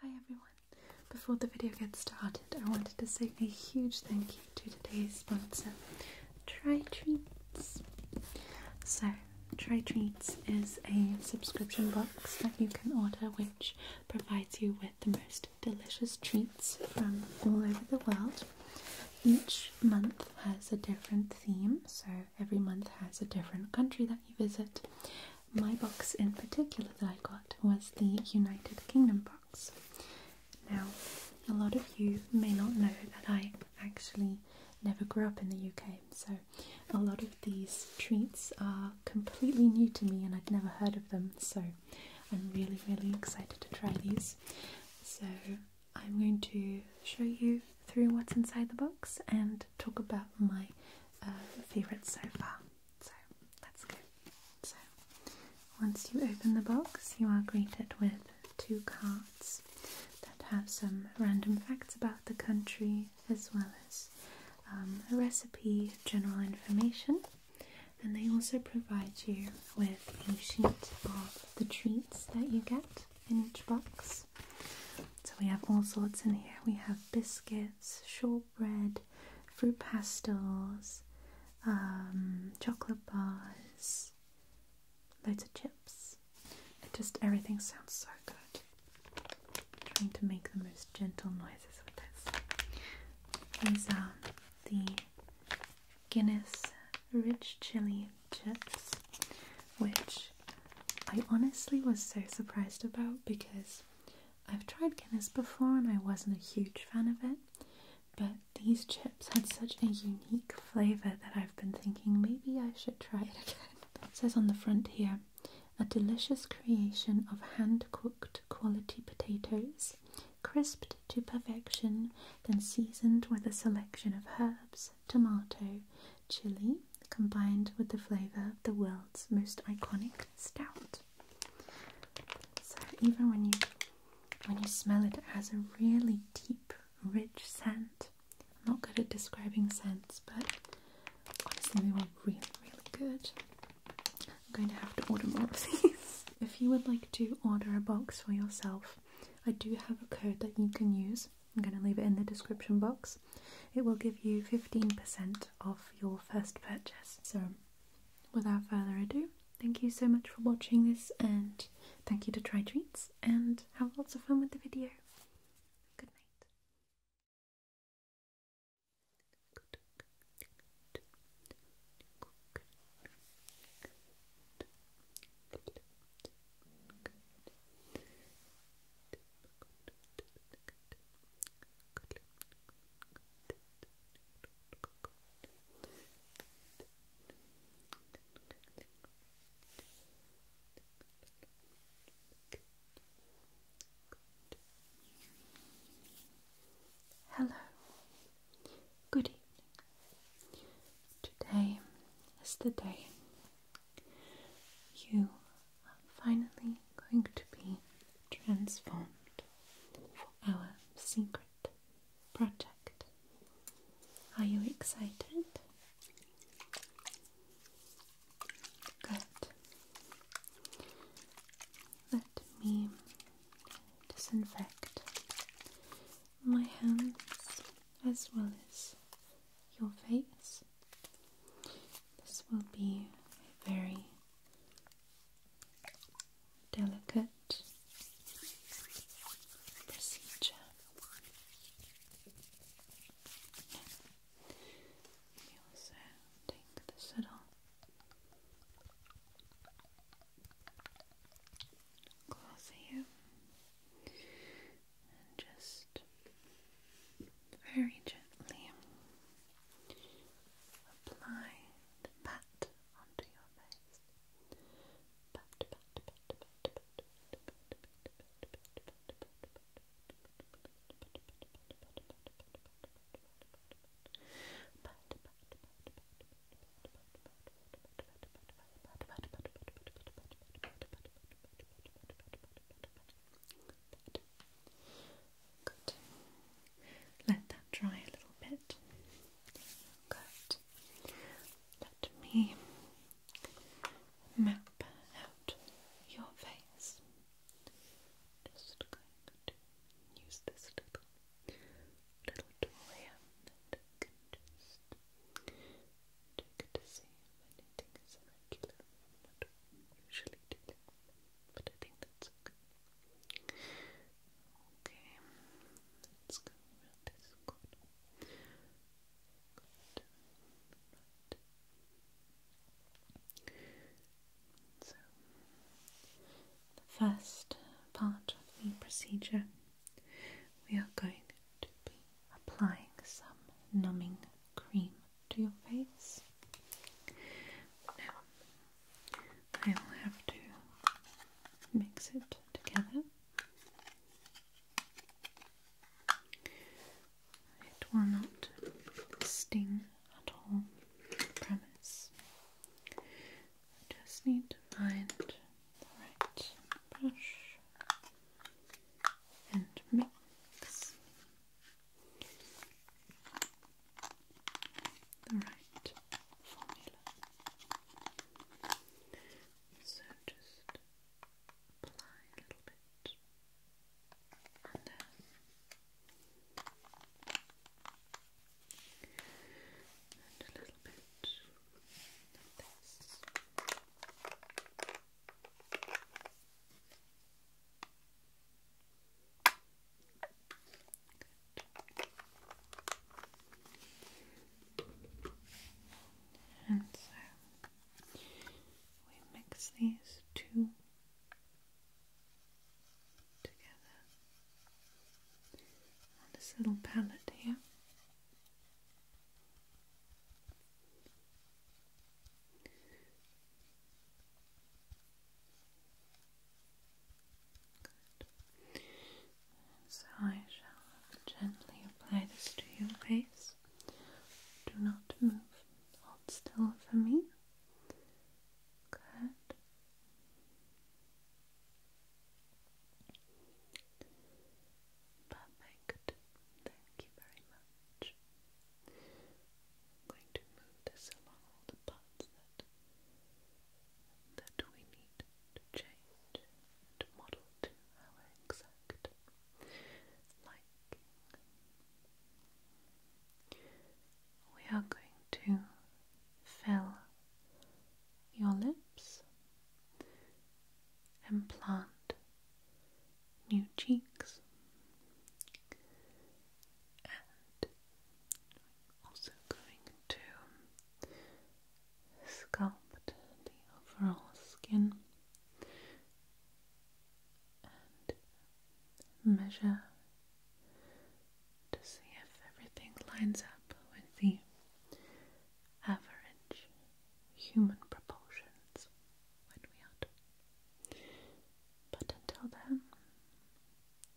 Hi everyone. Before the video gets started, I wanted to say a huge thank you to today's sponsor, Try Treats. So, Try Treats is a subscription box that you can order, which provides you with the most delicious treats from all over the world. Each month has a different theme, so every month has a different country that you visit, my box in particular that I got was the United Kingdom box. Now, a lot of you may not know that I actually never grew up in the UK, so a lot of these treats are completely new to me and I'd never heard of them, so I'm really, really excited to try these. So, I'm going to show you through what's inside the box and talk about my uh, favourites so far. So let's go. So once you open the box, you are greeted with two cards that have some random facts about the country as well as um, a recipe, general information, and they also provide you with a sheet of the treats that you get in each box. So we have all sorts in here. We have biscuits, shortbread, fruit pastels, um, chocolate bars, loads of chips. just everything sounds so good. I'm trying to make the most gentle noises with this. These are the Guinness Rich Chili Chips, which I honestly was so surprised about because I've tried Guinness before and I wasn't a huge fan of it, but these chips had such a unique flavour that I've been thinking maybe I should try it again. It says on the front here, a delicious creation of hand cooked quality potatoes, crisped to perfection, then seasoned with a selection of herbs, tomato, chili, combined with the flavour of the world's most iconic stout. So even when you when you smell it, it has a really deep, rich scent. I'm not good at describing scents, but honestly they were really, really good. I'm going to have to order more of these. if you would like to order a box for yourself, I do have a code that you can use. I'm going to leave it in the description box. It will give you 15% off your first purchase. So, without further ado, thank you so much for watching this and thank you to Try Treats and have lots of fun with the video. Good night. Hello, good evening. Today is the day you are finally going to be transformed for our secret project. Are you excited? Good. Let me disinfect my hands as well as your face. This will be a very delicate procedure. We also take the saddle, cloth here, and just very gently apply pat onto your face. Let that dry a little bit. Good. Let me map out your face. Just going to use this little little tool here that I can just take to see if anything is I'm not usually dealing with but I think okay. let's go So, the first part of the procedure, we are going to be applying some numbing cream to your face. Now I will have to mix it together. It will not sting at all, promise. just need to find the right brush and mix the right formula. So just apply a little bit and then a little bit of this. And so we mix these two together on this little palette here. So I shall gently apply this to your face. Do not move. Hold still for me. Good. Perfect. Thank you very much. I'm going to move this along all the parts that that we need to change and model to our exact liking. We are going to fill your lips and plant new cheeks and also going to sculpt the overall skin and measure to see if everything lines up with the average human proportions But until then,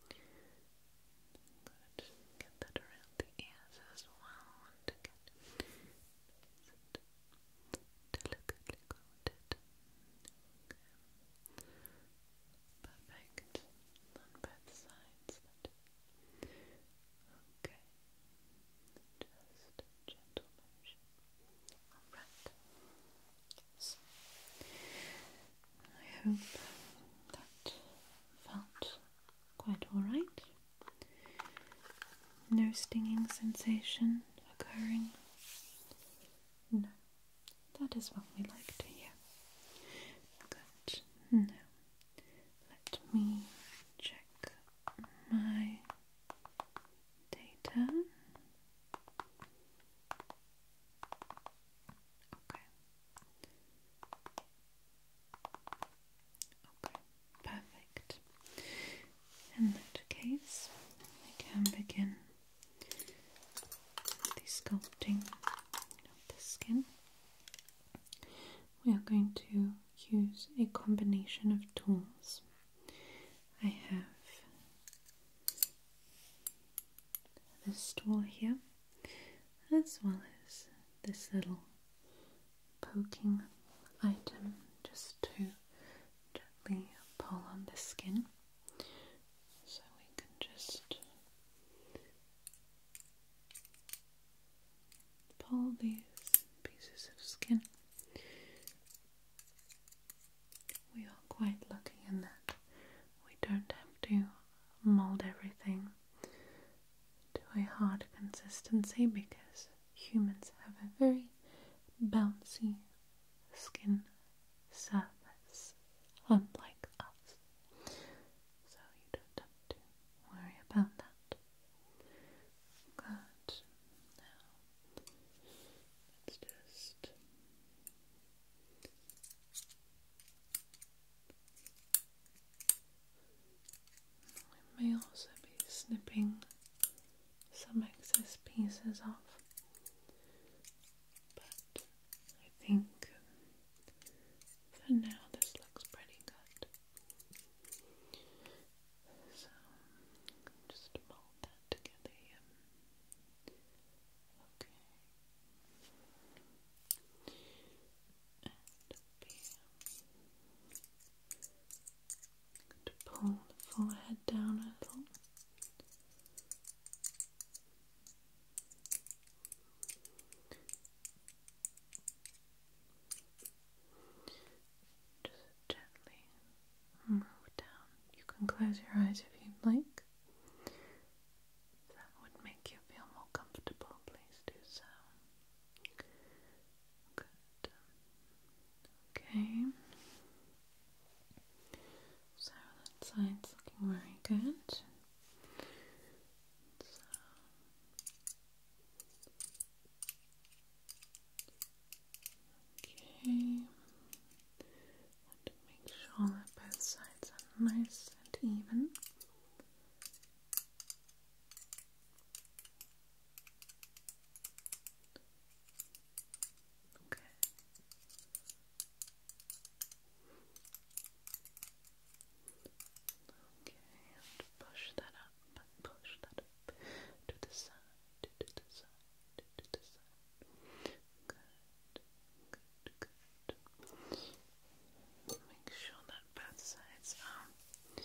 Good. Get that around the ears as well to get delicately coated. Perfect. On both sides. Okay. Just gentle motion. Alright. I hope that felt quite alright. No stinging sensation occurring. No, that is what we like to hear. Good. let me check my data. Okay. Okay, perfect. In that case, we can begin the sculpting of the skin. We are going to use a combination of tools. I have this tool here, as well as this little poking item just to gently pull on the skin. So we can just pull these pieces of skin we are quite lucky in that we don't have to mold everything to a hard consistency because humans have a very bouncy skin surface, unlike us. So you don't have to worry about that. Good. Now, let's just I may also be snipping some excess pieces off, but I think for now this looks pretty good. So just mold that together here. Okay. to pull the forehead down a little. Just gently move down. You can close your eyes if you'd like that would make you feel more comfortable, please do so. Good. Okay. So that side's looking very good. Okay, and make sure that both sides are nice and even. Okay. Okay, and push that up, push that up to the side, to the side, to the side. Good, good, good. Make sure that both sides are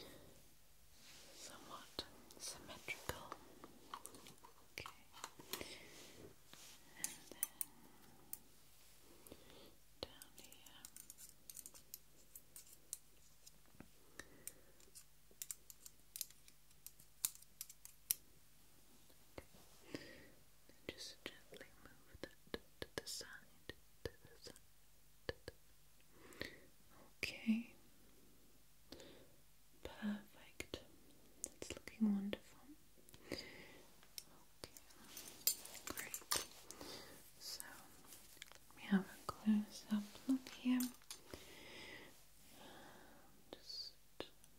somewhat symmetrical. Okay. And then down here. Okay just gently move the side, Okay. Perfect. That's looking wonderful. Okay. So we have a close up look here. Just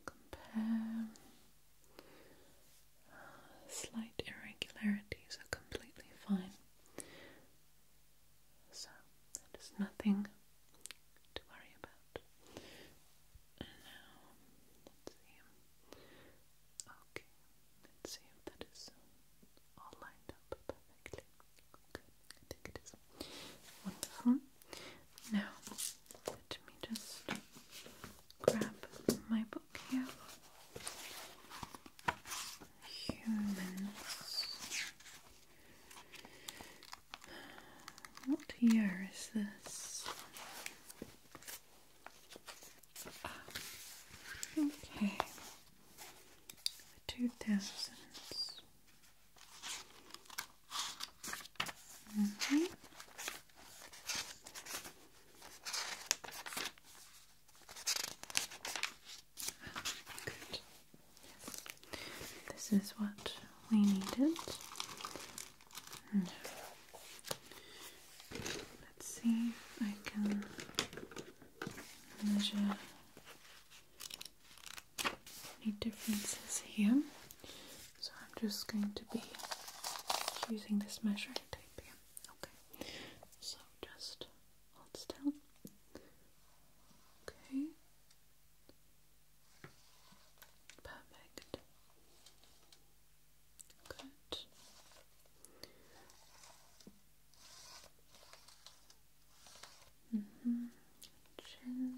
compare. slight irregularities are completely fine. So, that is nothing to worry about. now, Okay, let's see that is all lined up perfectly. Okay, I think it is. Wonderful. Now, let me just grab my book here. Humans. What year is this? okay. The two thousands. Mm Good. This is what we needed. let's see if I can measure any differences here. So I'm just going to be using this measuring tape here. Okay. So just hold still. Okay. Perfect. Good. Mm hmm. Chin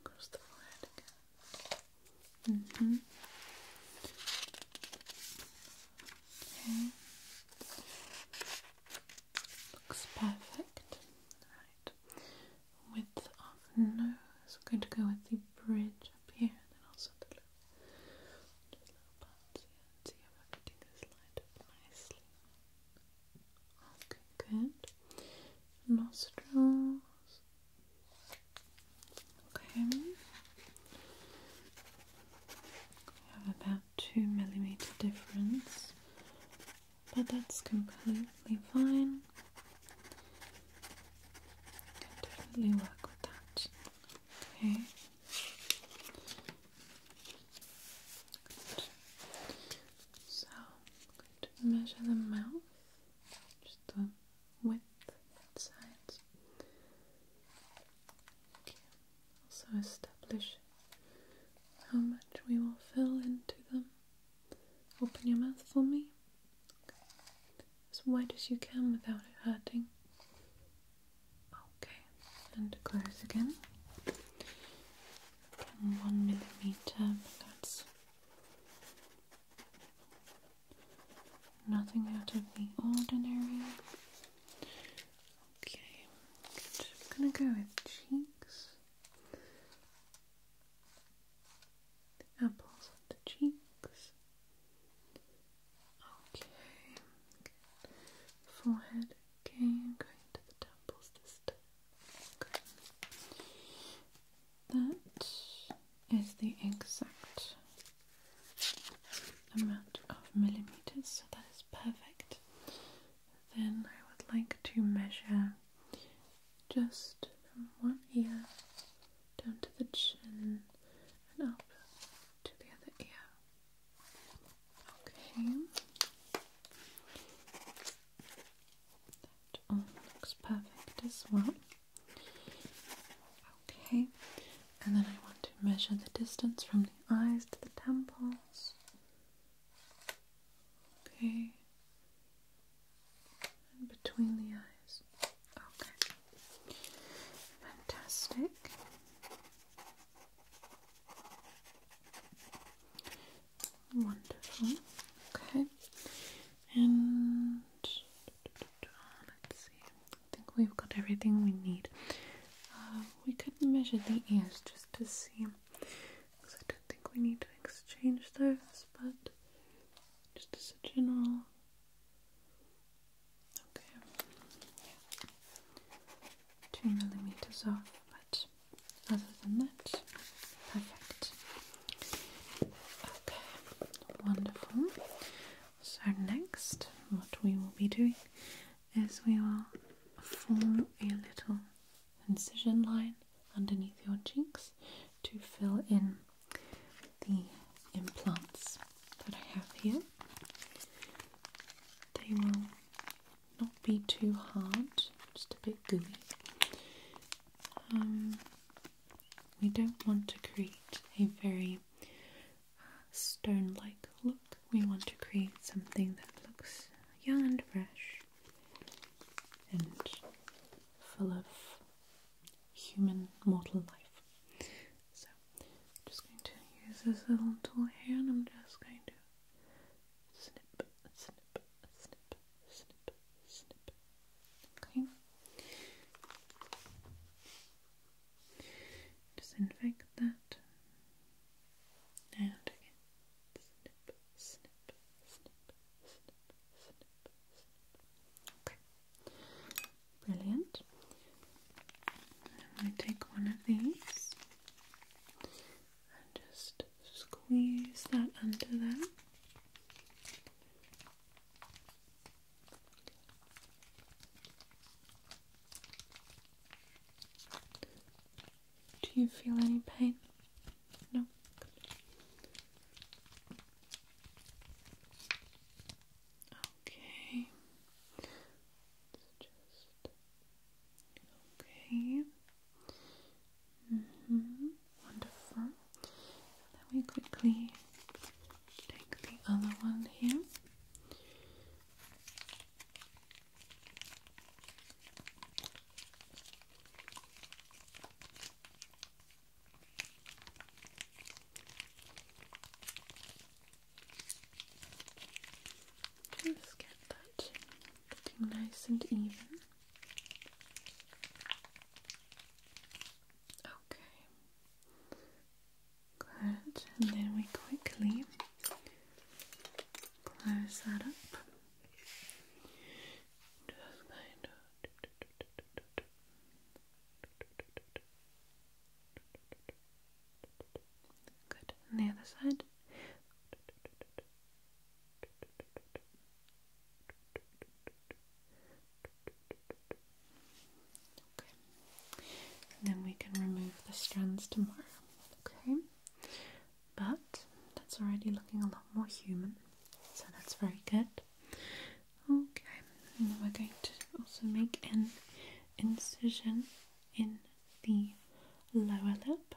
across the forehead Mm -hmm. Okay. Looks perfect. Right. Width of nose. I'm going to go with the bridge up here and then also the little, little parts here and see if everything is lined up nicely. Okay, good. Nostrils. Okay. We have about two millimeter difference, but that's completely fine. Can definitely work with that. Okay. So measure the mouth, just the width and sides. Also establish how much we will fill into them. Open your mouth for me. As wide as you can without it hurting. Okay, and close again one millimeter, but that's nothing out of the ordinary. Okay, I'm gonna go with cheeks, the apples of the cheeks. Okay, Forehead. Okay, I'm going to the temples this time. That is the exact amount of millimeters, so that is perfect. Then I would like to measure just one ear down to the chin and up to the other ear. Okay. That all looks perfect as well. Okay, and then I want to measure the distance from the eyes to the temples. Okay, and between the eyes. Okay, fantastic. Wonderful. Okay. And let's see. I think we've got everything we need. Uh, we could measure the ears just to see, because I don't think we need to exchange those, but just as a general. Okay. Two millimeters off, but other than that, perfect. Okay, wonderful. So, next, what we will be doing is we will form a little incision line underneath your cheeks to fill in the implants that I have here. They will not be too hard, just a bit gooey. Um, we don't want to create a very stone like look, we want to create something that looks young and fresh and full of human mortal life. So, I'm just going to use this little tool here and I'm just going to snip, snip, snip, snip, snip. Okay. Disinfect that. And again. Snip, snip, snip, snip, snip, Okay. Brilliant. I'm going to take one of these and just squeeze that under there. Do you feel any pain? No. Okay. okay. Mm -hmm. Wonderful. then we quickly take the other one here. Just get that getting nice and even. Okay. Good. And then we quickly close that up. Just kind of Good. And the other side. And then we can remove the strands tomorrow. Okay. But that's already looking a lot more human. So that's very good. Okay. And we're going to also make an incision in the lower lip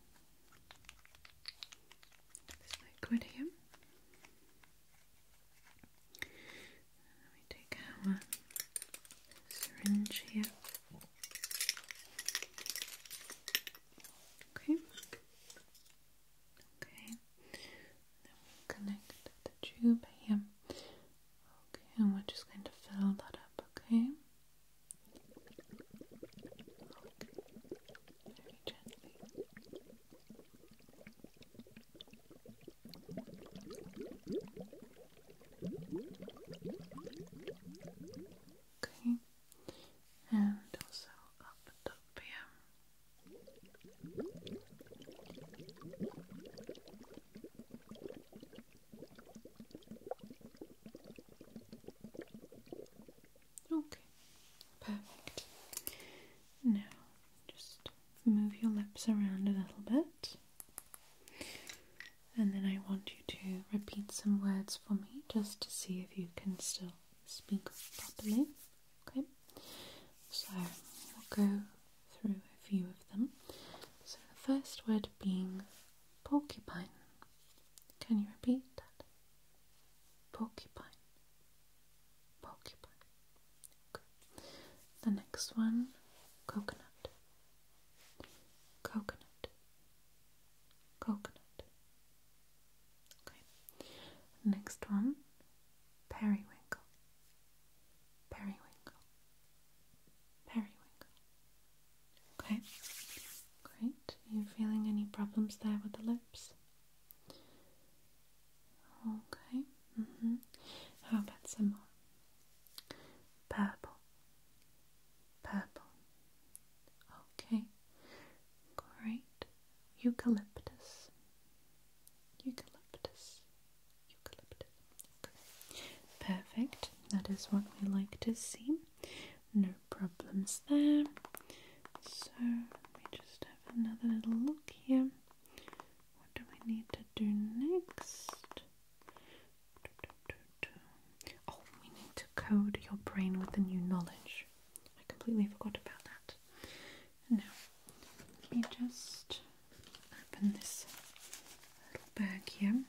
this liquid here. Let me take our syringe here. Okay. Okay. Then we connect the tube here. Okay, and we're just going to fill that up, okay? Okay very gently. Okay, and also up top here. Okay, perfect. Now just move your lips around a little bit, and then I want you to repeat some words for me just to see if you can still speak properly. Okay, so we'll go through a few of them. So the first word being porcupine. Can you repeat that? Porcupine. Porcupine. The next one, coconut. Coconut. Coconut. Okay. Next one, periwinkle. Periwinkle. Periwinkle. Okay, great. Are you feeling any problems there with the lips? Okay, mm-hmm. How about some more? Purple, purple. Okay, great. Eucalyptus, eucalyptus, eucalyptus. Okay. Perfect. That is what we like to see no problems there. So we just have another little look here. What do we need to do next? Oh, we need to code your brain with the new knowledge. I completely forgot about that. Now, let me just open this little bag here.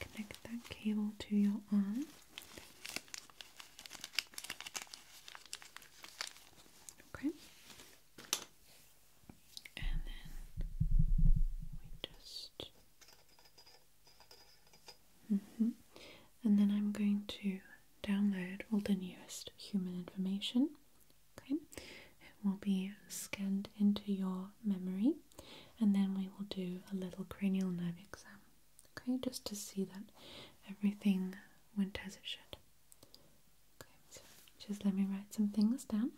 Connect that cable to your arm. Okay. And then we just. Mm-hmm. And then I'm going to download all the newest human information. Okay, it will be scanned into your memory and then we will do a little cranial nerve exam, okay, just to see that everything went as it should. Okay, so just let me write some things down.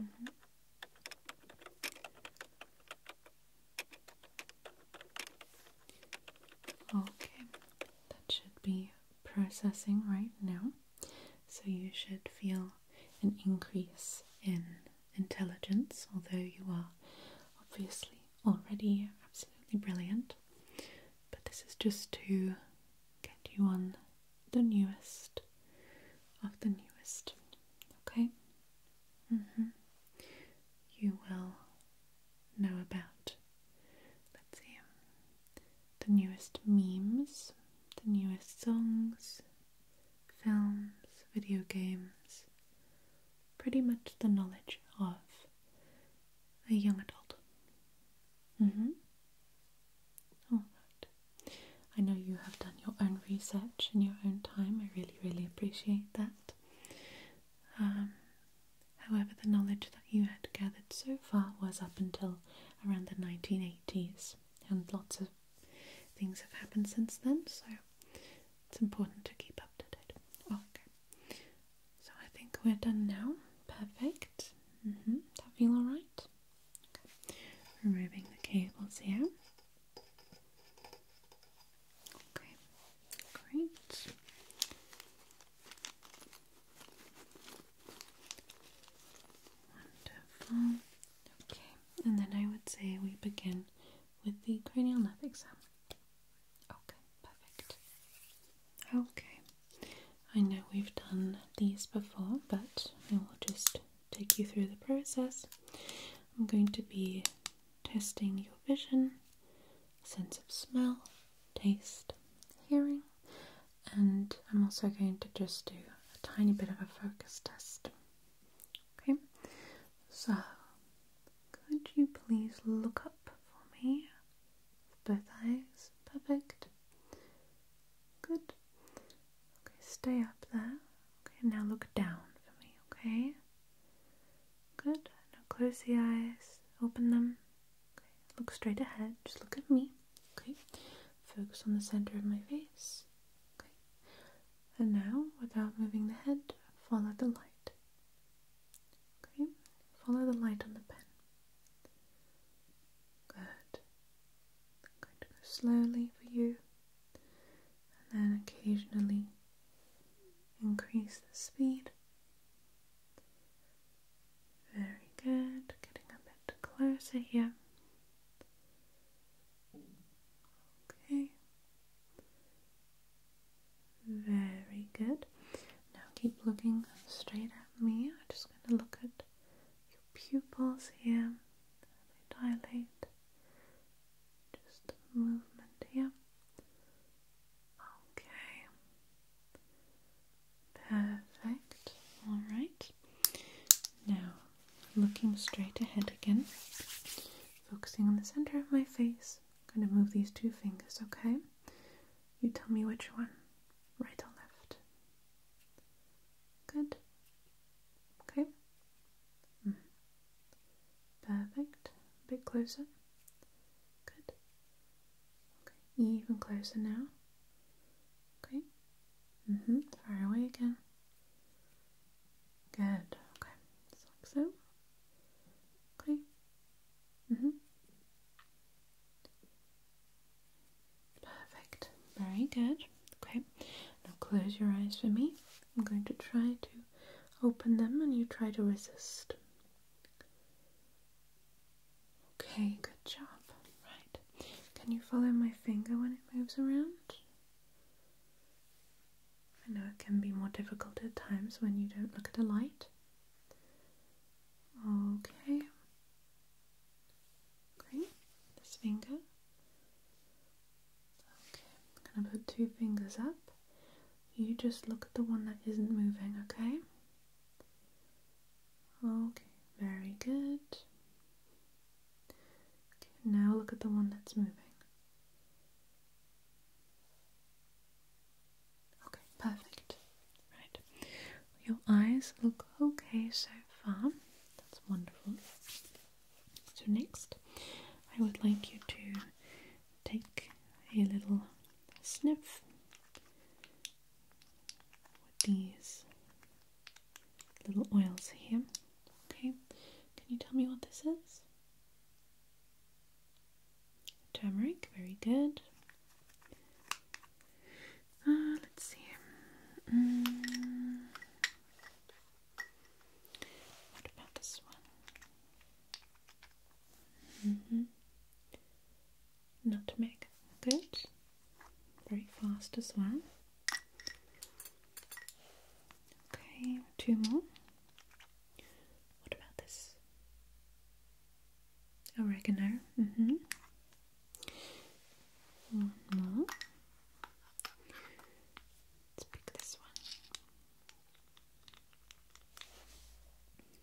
Mm-hmm. Okay, that should be processing right now. So you should feel an increase in intelligence, although you are obviously already absolutely brilliant. But this is just to get you on the newest of the newest. Okay? Mm -hmm. You will know about, let's see, the newest memes, the newest songs, films, video games, pretty much the knowledge of a young adult. Mm hmm. Alright. I know you have done your own research in your own time. I really, really appreciate that. Um, however, the knowledge that you had gathered so far was up until around the 1980s, and lots of things have happened since then, so it's important to keep up to date. Oh, okay. So I think we're done now. Perfect. -hmm. That feel alright? Okay. Removing the cables here. Okay, great. Wonderful. Okay, and then I would say we begin with the cranial nerve exam. Okay, perfect. Okay, I know we've done these before, but I will just take you through the process. I'm going to be testing your vision, sense of smell, taste, hearing, and I'm also going to just do a tiny bit of a focus test. Okay, so could you please look up for me? Both eyes, perfect. Good. Okay, stay up there. Okay, now look down for me, okay? Good. Now close the eyes, open them. Okay. Look straight ahead. Just look at me. Okay. Focus on the center of my face. Okay. And now, without moving the head, follow the light. Okay. Follow the light on the pen. Good. going to go slowly for you and then occasionally increase the speed. Very good, getting a bit closer here. Okay, very good. Now keep looking straight at me. I'm just going to look at your pupils here. They dilate just a movement here. Okay. Perfect. All right. Now, looking straight ahead again, focusing on the center of my face. I'm going to move these two fingers, okay? You tell me which one, right or left. Good. Okay. Mm. Perfect. A bit closer. Good. Okay. Even closer now. Okay. Mm-hmm. Far away again. Good. Okay. Just like so. Okay. Mm-hmm. Perfect. Very good. Okay. Now close your eyes for me. I'm going to try to open them and you try to resist. Okay, good job. Right. Can you follow my finger when it moves around? I know it can be more difficult at times when you don't look at the light. Okay. Okay, this finger. Okay, I'm gonna put two fingers up. You just look at the one that isn't moving, okay? Okay, very good. Okay, now look at the one that's moving. Okay, perfect. Right. Your eyes look okay so far. That's wonderful. So, next, I would like you to take a little sniff with these little oils here. Okay, can you tell me what this is? Turmeric, very good. Ah, let's see. Mm. What about this one? Mm-hmm. Nutmeg, good. Very fast as well. Okay, two more. What about this? Oregano. Mm -hmm. Let's pick this one.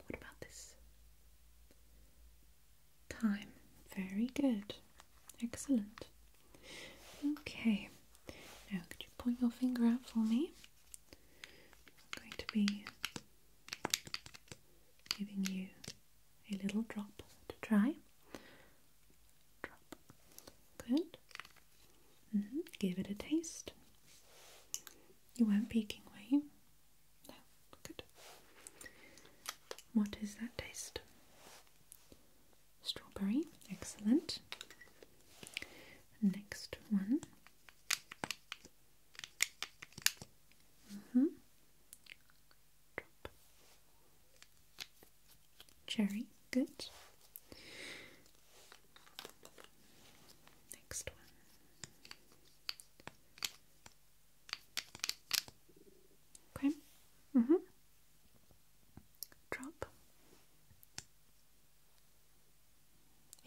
What about this? Time. Very good. Excellent. Okay. Now, could you point your finger out for me? I'm going to be giving you a little drop to try. Drop. Good. Mm-hmm. Give it a taste. You weren't peeking, were you? No, good. What is that taste? Strawberry, excellent. Next one. Mm Cherry, good. Next one. Okay. hmm. Drop.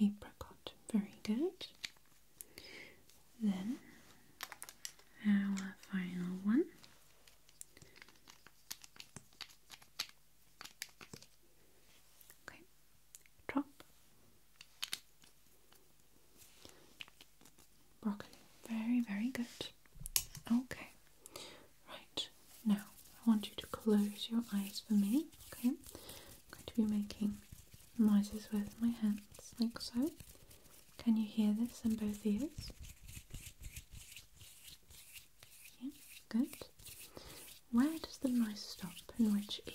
Apricot. Very good. Then our final one. Okay, drop broccoli. Very, very good. Okay, right now I want you to close your eyes for me. Okay, I'm going to be making noises with my hands like so. Can you hear this in both ears? Okay, good. Where does the noise stop? In which ear?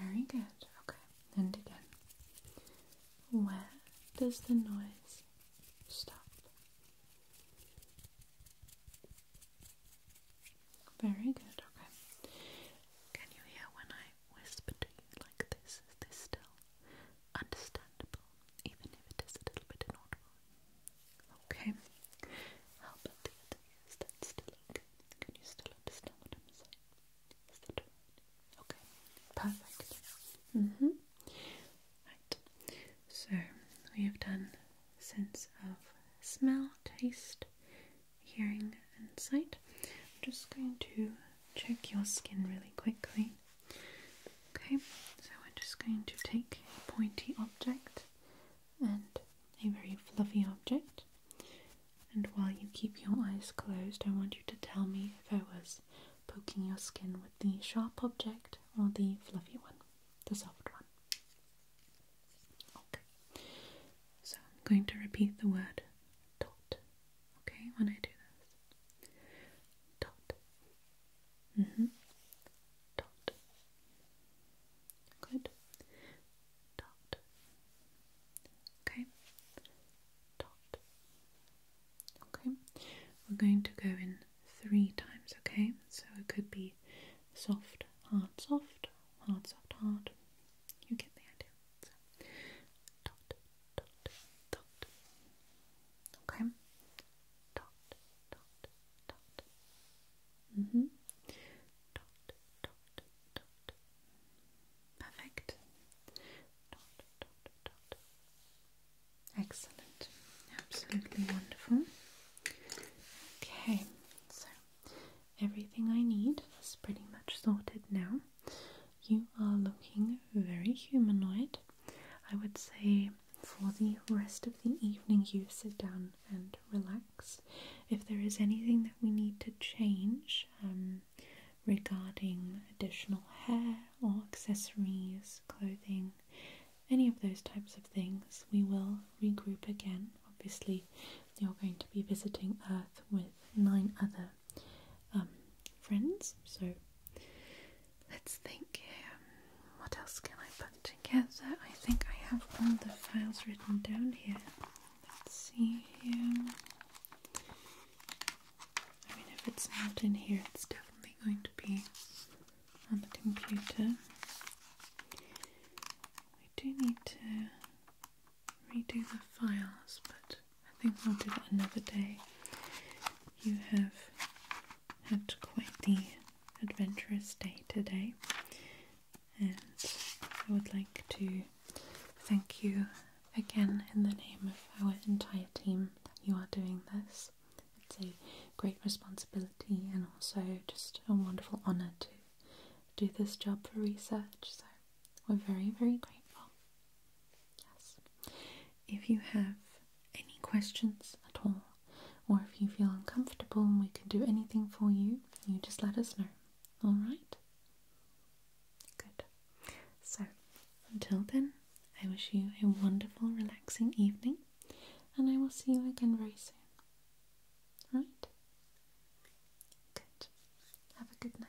Very good. Okay, and again. Where does the noise stop? Very good. Okay. Can you hear when I whisper to you like this? this still? understandable, even if it is a little bit inaudible. Okay, how about the other Can you still understand what I'm saying? Is Okay, perfect. Mm-hmm. Right, so we have done sense of smell, taste, hearing, and sight. I'm just going to check your skin really quickly. Okay, so I'm just going to take a pointy object and a very fluffy object, and while you keep your eyes closed, I want you to tell me if I was poking your skin with the sharp object or the fluffy one, the soft one. Okay, so I'm going to repeat the word dot, okay, when I do this. Dot, Mm-hmm. Dot. Good. Dot. Okay. Dot. Okay. We're going to go in three times, okay? So it could be soft, hard, soft, hard, soft, hard. You get the idea. dot, dot, dot. Okay. Mm-hmm. Perfect. Excellent. Absolutely wonderful. Okay, so everything I need is pretty much sorted now. You are looking very humanoid. I would say for the rest of the evening, you sit down and relax. If there is anything that we need to change um, regarding additional hair or accessories, clothing, any of those types of things, we will regroup again. Obviously, you're going to be visiting Earth with nine other um, friends, so Let's think here. What else can I put together? I think I have all the files written down here. Let's see here. I mean, if it's not in here, it's definitely going to be on the computer. We do need to redo the files, but I think we'll do that another day. You have had quite the adventurous day today, and I would like to thank you again in the name of our entire team that you are doing this. It's a great responsibility and also just a wonderful honour to do this job for research, so we're very, very grateful. Yes. If you have any questions at all, or if you feel uncomfortable we can do anything for you, you just let us know. Alright? Good. So, until then, I wish you a wonderful, relaxing evening, and I will see you again very soon. Right? Good. Have a good night.